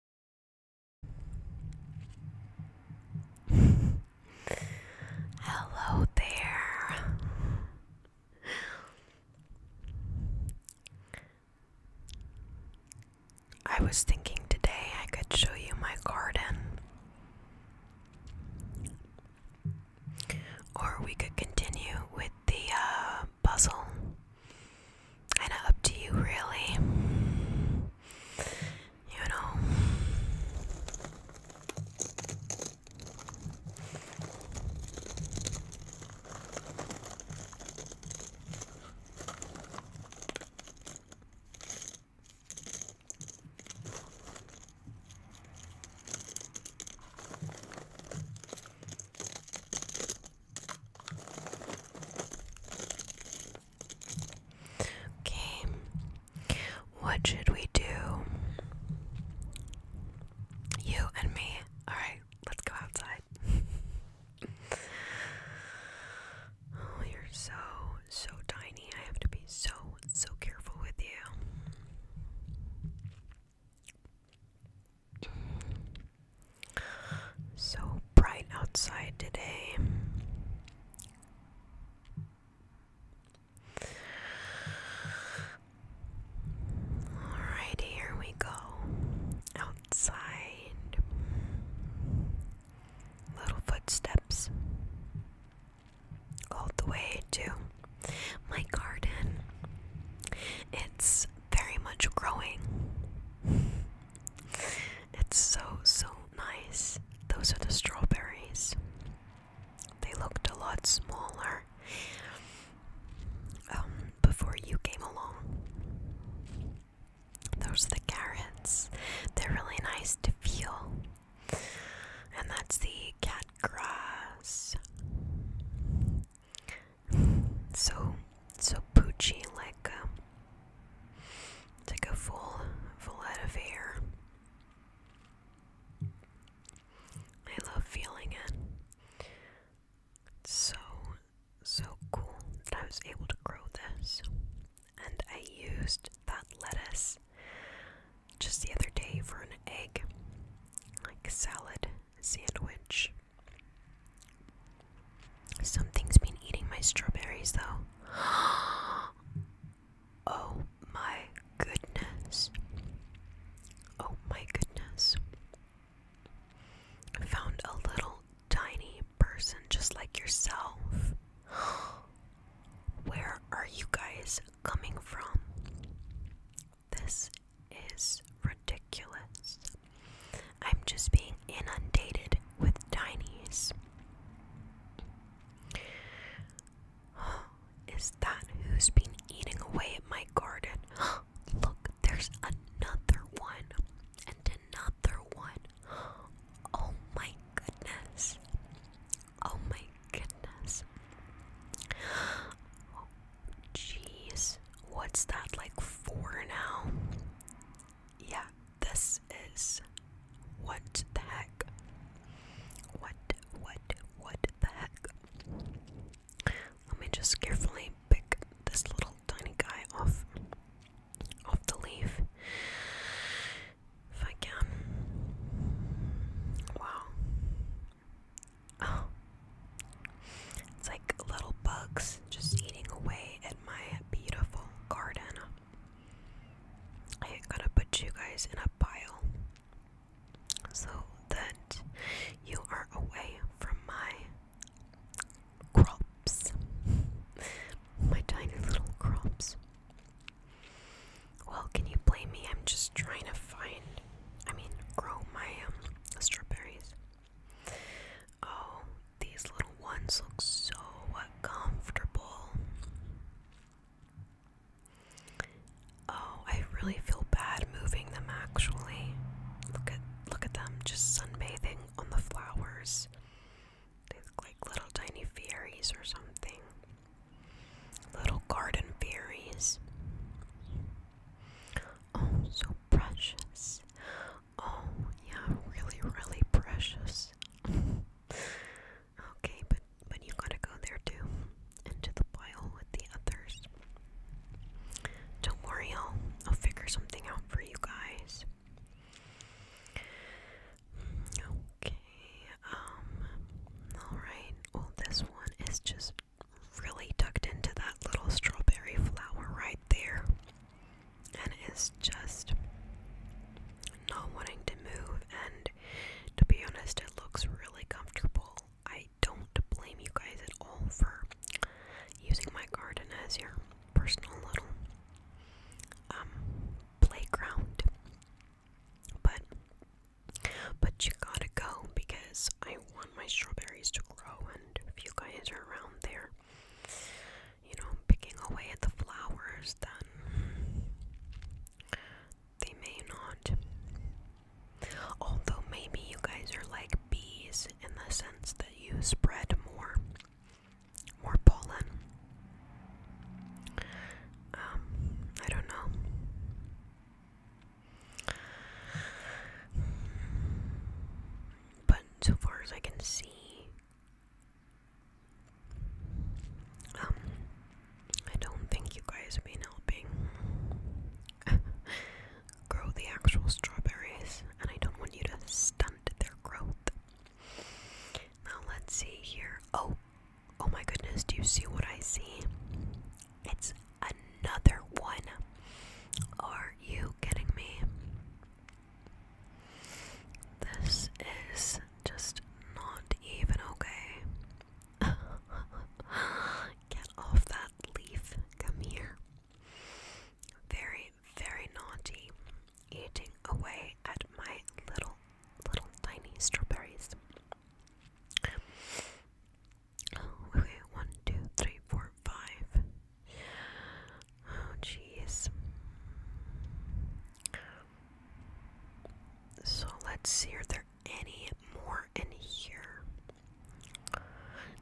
Hello there. I was thinking today I could show you my garden. Or we could continue with the uh, puzzle. Kinda up to you, really. You know. Okay, what should we do? You and me. Alright, let's go outside. oh, you're so, so tiny. I have to be so, so careful with you. So bright outside today. Alright, here we go. Outside. Little footsteps. All the way to my garden. It's very much growing. It's so, so nice. Those are the strawberries. They looked a lot smaller um, before you came along. Those are the carrots. They're really nice to feel. And that's the cat grass. So, so poochy, like um, it's a full, full head of hair. I love feeling it. so, so cool that I was able to grow this. And I used that lettuce just the other day for an egg, like salad sandwich. Something's been eating my strawberries, though. Oh my goodness. Oh my goodness. found a little tiny person just like yourself. Where are you guys coming from? This is ridiculous ridiculous. I'm just being inundated with tinies. Is that who's been eating away at my garden? Look, there's another one and another one. Oh my goodness. Oh my goodness. jeez. What's that like for now? yeah, this is what the heck? What, what, what the heck? Let me just carefully pick this little tiny guy off off the leaf if I can. Wow. Oh. It's like little bugs just eating away at my beautiful garden. I am going to put you guys in a pile so that you are away from my crops. my tiny little crops. Well, can you blame me? I'm just trying to find, I mean, grow my um, strawberries. Oh, these little ones look so comfortable. Oh, I really feel bad moving them actually. Look at look at them just sunbathing on the flowers. They look like little tiny fairies or something. Little garden fairies. Oh, so precious. Oh, yeah, really, really precious. okay, but but you gotta go there too, into the pile with the others. Don't worry, I'll I'll figure something out for you guys. Okay, um, alright, well, this one is just really tucked into that little strawberry flower right there and it's just not wanting to move. And to be honest, it looks really comfortable. I don't blame you guys at all for using my garden as your personal little um, playground, but but you gotta go because I want my strawberries to grow. And if you guys are around there, you know, picking away at the flowers, then they may not. Although, maybe you guys are like bees in the sense that you spread more, more pollen. Um, I don't know but so far as I can see, um, I don't think you guys have been helping grow the actual strawberries, and I don't want you to stunt their growth. Now, let's see here. Oh, oh my goodness, do you see what I see? It's another one. Are you kidding me? This is just not even okay. Get off that leaf. Come here. Very, very naughty. Eating away at my little, little tiny strawberries. okay, one, two, three, four, five. Oh, jeez. So let's see, are there any more in here?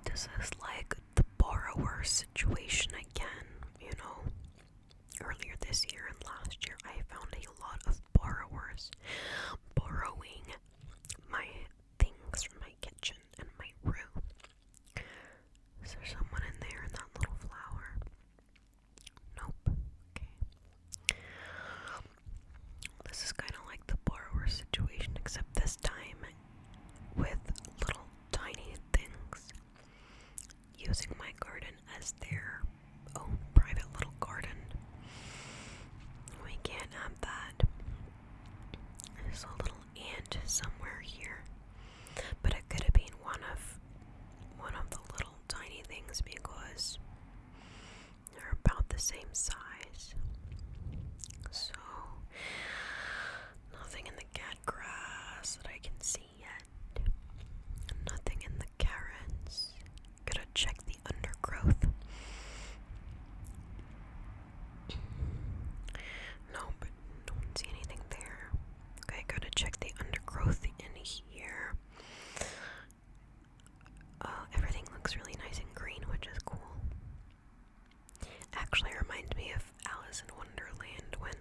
This is like the borrower situation again, you know. Earlier this year and last year, I found a lot of borrowers borrowing my things from my kitchen and my room. Is there someone in there in that little flower? Nope. Okay. This is kind of like the borrower situation, except this time with little tiny things. Using my garden as their own private little garden. We can't have that. So little and somewhere here. But it could have been one of one of the little tiny things because they're about the same size. So nothing in the cat grass that I can see yet. Nothing in the carrots. Gotta check the undergrowth. No, but don't see anything there. Okay, gotta check the undergrowth in here. Uh, everything looks really nice and green, which is cool. Actually, reminds me of Alice in Wonderland when,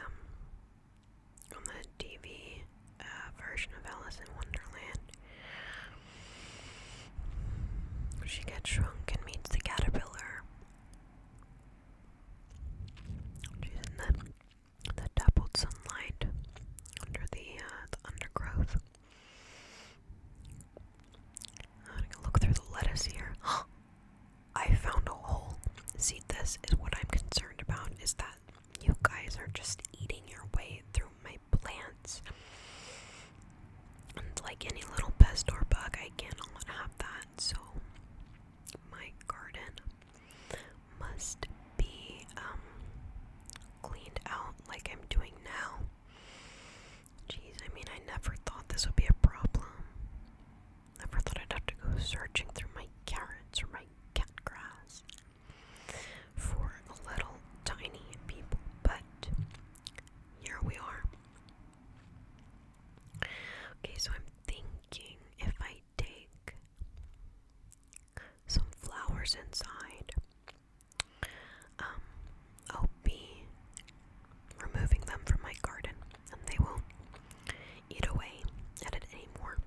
um, on the TV uh, version of Alice in Wonderland, she gets shrunk and meets the caterpillar. She's in the, the dappled sunlight under the, uh, the undergrowth. I'm look through the lettuce here. I found a hole. See, this is what I'm concerned about is that you guys are just eating your way through my plants like any little pest or bug, I cannot have that. So my garden must be um, cleaned out like I'm doing now. Jeez, I mean, I never thought this would be a problem. Never thought I'd have to go searching through my carrots or my cat grass for a little tiny people, but here we are. Okay, so I'm thinking if I take some flowers inside, um, I'll be removing them from my garden and they won't eat away at it anymore.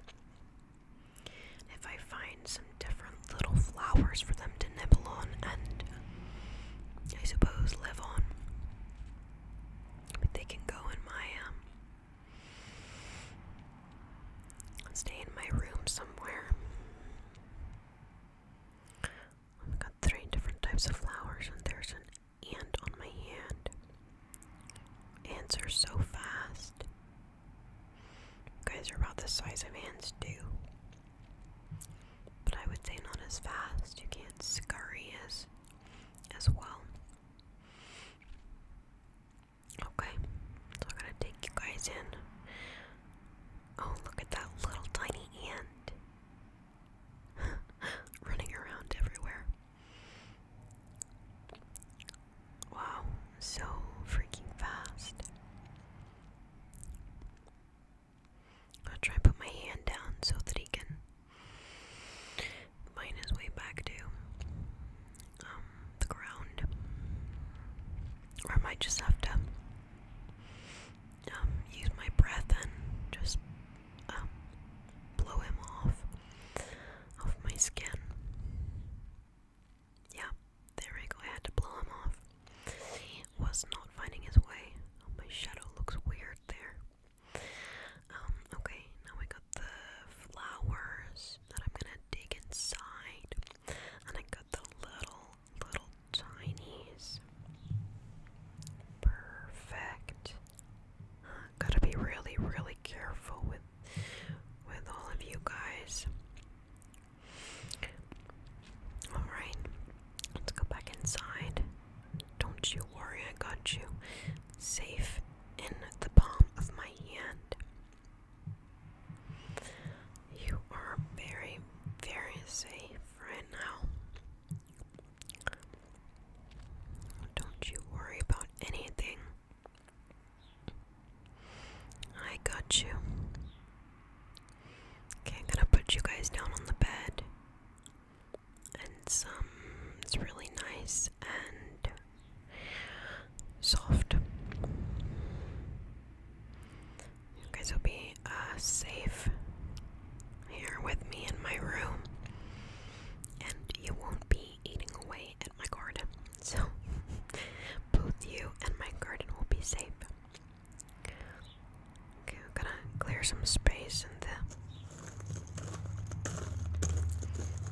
If I find some different little flowers for them to to and I suppose live But they can go in my um stay in my room somewhere. I've got three different types of flowers and there's an ant on my hand. Ants are so fast. guys are about the size of ants too. But I would say not as fast. You can't scurry as as well. Okay, so I'm gonna take you guys in. Oh, look at that little tiny ant running around everywhere. Wow, so freaking fast. I'll try and put my hand down so that he can find his way back to um, the ground. Or I might just have to um, use my breath and just um, blow him off, off my skin. Yeah, there we go. I had to blow him off was not finding his way. Oh, my shadow looks weird there. Um, okay, now we got the flowers that I'm gonna dig inside. And I got the little, little tinies. Perfect. gotta be really, really careful with with all of you guys. Alright. Let's go back inside. Don't you worry, I got you. Safe in the palm of my hand. You are very, very safe right now. Don't you worry about anything. I got you. Okay, I'm gonna put you guys down on the bed. And some, it's really nice and soft. You guys will be uh, safe here with me in my room, and you won't be eating away at my garden. So, both you and my garden will be safe. Okay, I'm gonna clear some space in the,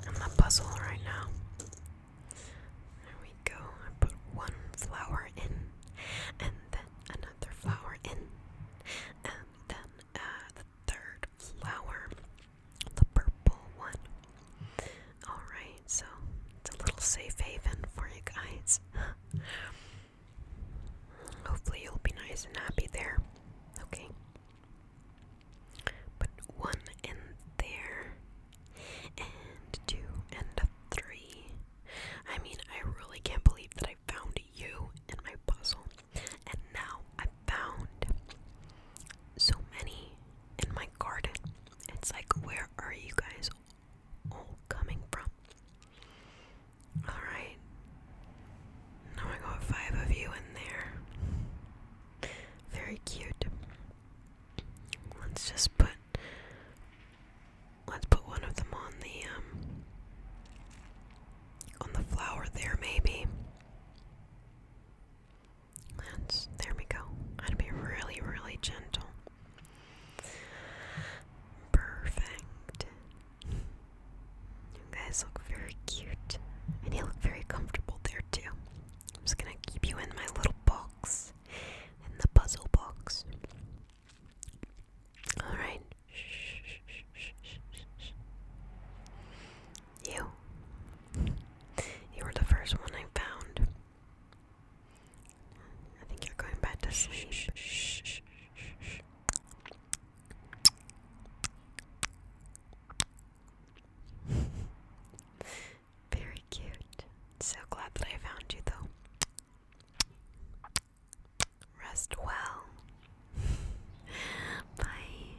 in the puzzle right now. There we go. I put one flower in, and then another flower in, and then uh, the third flower, the purple one. Alright, so it's a little safe haven for you guys. Hopefully, you'll be nice and happy there. Okay. Put one in there, and two, and three. I mean, I really can't believe that I found you in my puzzle, and now I found so many in my garden. It's like, where are you guys all coming from? Alright. Now I got five of you in there. Very cute. Let's just put let's put one of them on the um on the flower there maybe. That's there we go. I'd be really, really gentle. Perfect. You guys look very cute. And you look very comfortable there too. I'm just gonna keep you in my little box. In the puzzle box. Alright. You. You were the first one I found. I think you're going back to sleep. Very cute. So glad that I found you, though. Rest well. Bye.